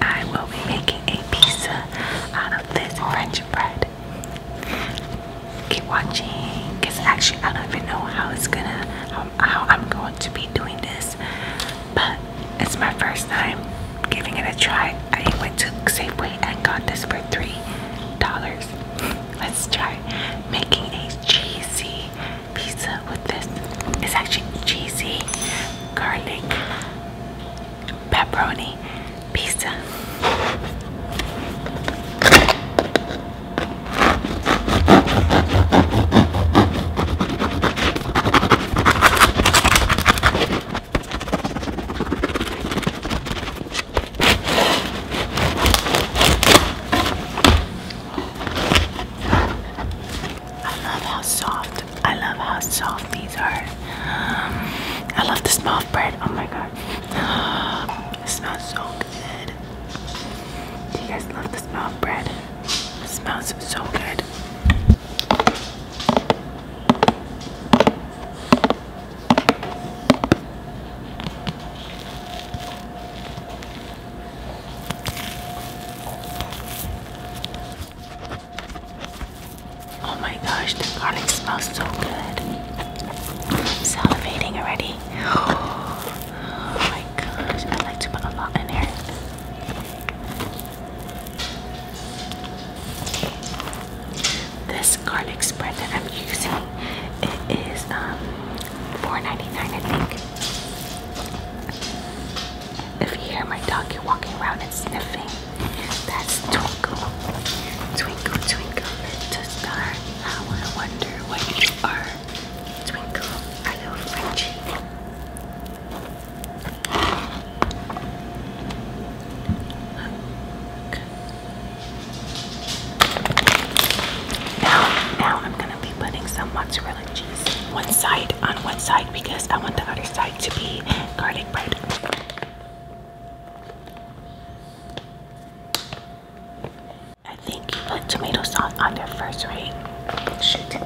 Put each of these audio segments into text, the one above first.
I will be making a pizza out of this French bread. Keep watching, cause actually I don't even know how it's gonna, how, I'm going to be doing this, but it's my first time giving it a try. I went to Safeway and got this for three dollars. Let's try making a cheesy pizza with this. It's actually cheesy garlic pepperoni pizza. I love how soft I love how soft these are. Um, I love the small bread. Oh my god. It smells so good. Do you guys love the small bread? It smells so good. Oh my gosh, the garlic smells so good. salivating already. Oh my gosh, I like to put a lot in here. This garlic spread that I'm using, it is um, 4 I think. If you hear my dog, you're walking around and sniffing. That's Twinkle. Twinkle, Twinkle, little star. How I wonder where you are. Twinkle, I love Frenchie. Now, now I'm gonna be putting some mozzarella cheese one side on one side because I want the other side to be garlic bread. I think you put tomato sauce on there first, right? Shoot.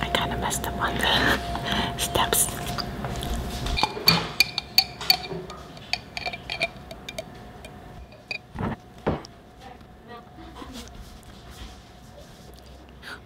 I kind of messed up on the steps.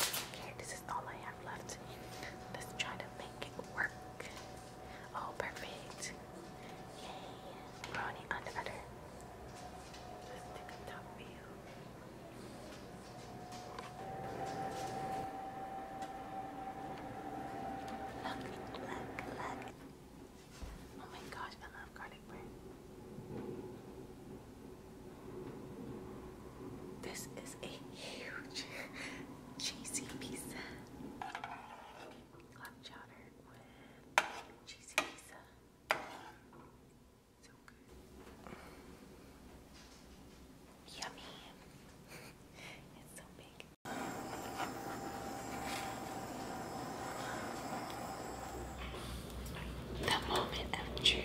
Okay, this is all I have left. Let's try to make it work. Oh, perfect. Yay. Brownie on the other. Look, look, look. Oh my gosh, I love garlic bread. This is a huge cheesy pizza. Hot chowder with cheesy pizza. So good. Yummy. it's so big the moment of truth.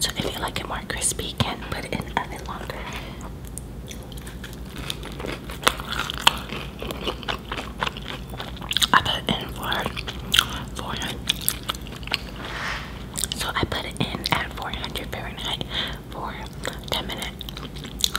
So if you like it more crispy, you can put it in a oven longer. I put it in for 400. So I put it in at 400 Fahrenheit for 10 minutes.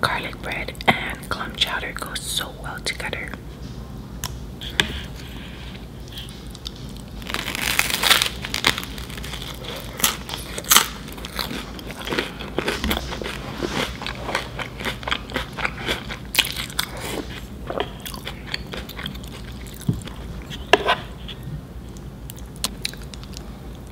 Garlic bread and clam chowder go so well together.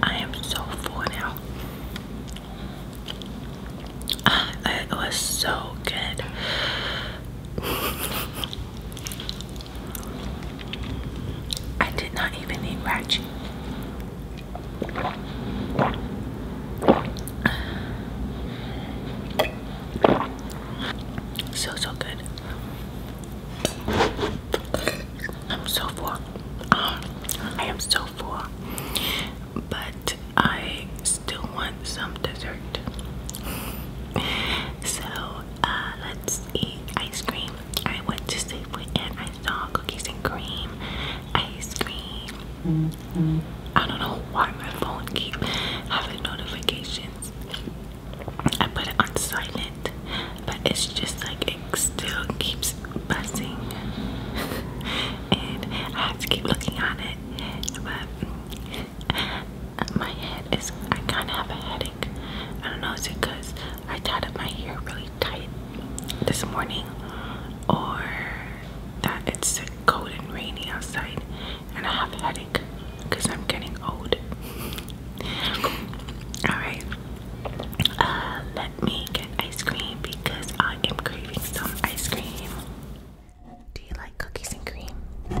I am so full now. Ah, it was so good. I did not even need Ratchet. So, so good. I'm so full. Um, I am so full. But I still want some dessert. So uh, let's eat ice cream. I went to Safeway and I saw cookies and cream, ice cream. I don't know why my phone keep having notifications. I put it on silent, but it's just like it still keeps buzzing, and I have to keep looking at it. But my head is, I kind of have a headache. I don't know, is it because I tied up my hair really tight this morning or that it's cold and rainy outside and I have a headache because I'm getting old. Alright, uh, let me get ice cream because I am craving some ice cream. Do you like cookies and cream?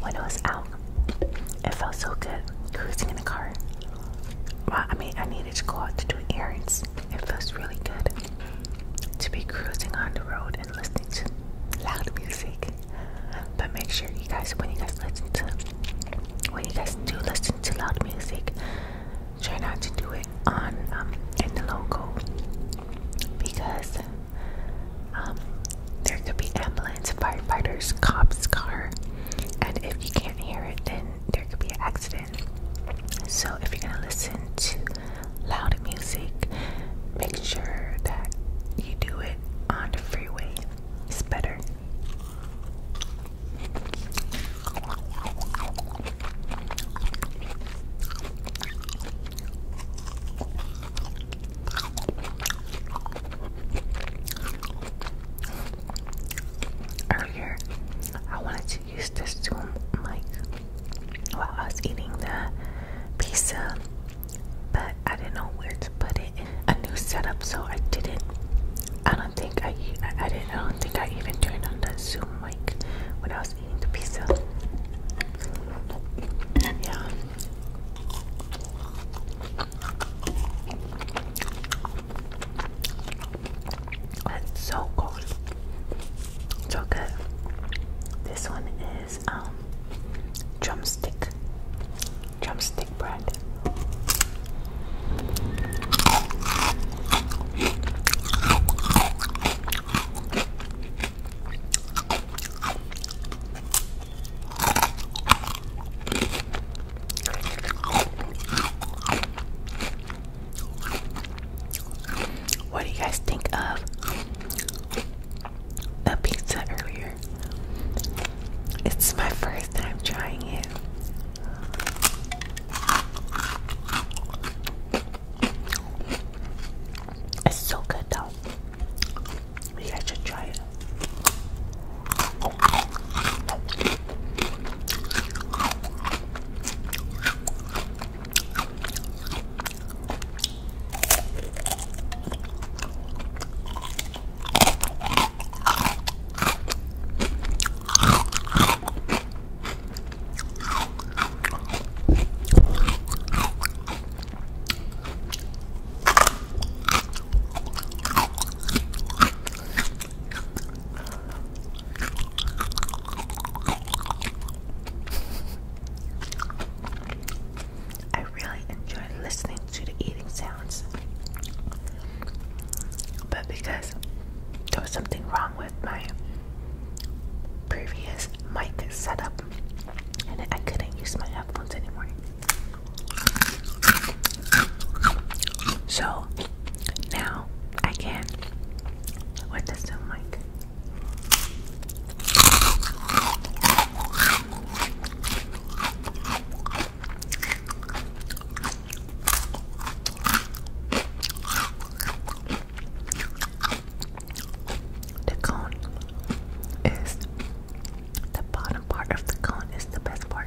When I was out, it felt so good cruising in the car. Well, I mean, I needed to go out to do errands. It feels really good to be cruising on the road and listening to loud music. But make sure you guys, when you guys listen to, when you guys do listen to loud music, try not to do it on um, in the local because um, there could be ambulance, firefighters, cops, car, and if you can't hear it, then there could be an accident. So if you're gonna listen to loud music, make sure that you do it on the freeway. It's better. Earlier, I wanted to use this Zoom mic while I was eating the pizza, but I didn't know where to put it. A new setup, so I didn't. I don't think I. I didn't. I don't think I even turned on the Zoom mic when I was pizza. Yeah. It's so good. So good. This one is um drumstick. Drumstick bread. What do you guys think of the pizza earlier? It's my first time trying it. It's so good though. You guys should try it. I really enjoy listening to the eating sounds, but because there was something wrong with with my previous mic setup, and I couldn't use my headphones anymore. So now I can with this new mic. The cone is the bottom part of the cone is the best part.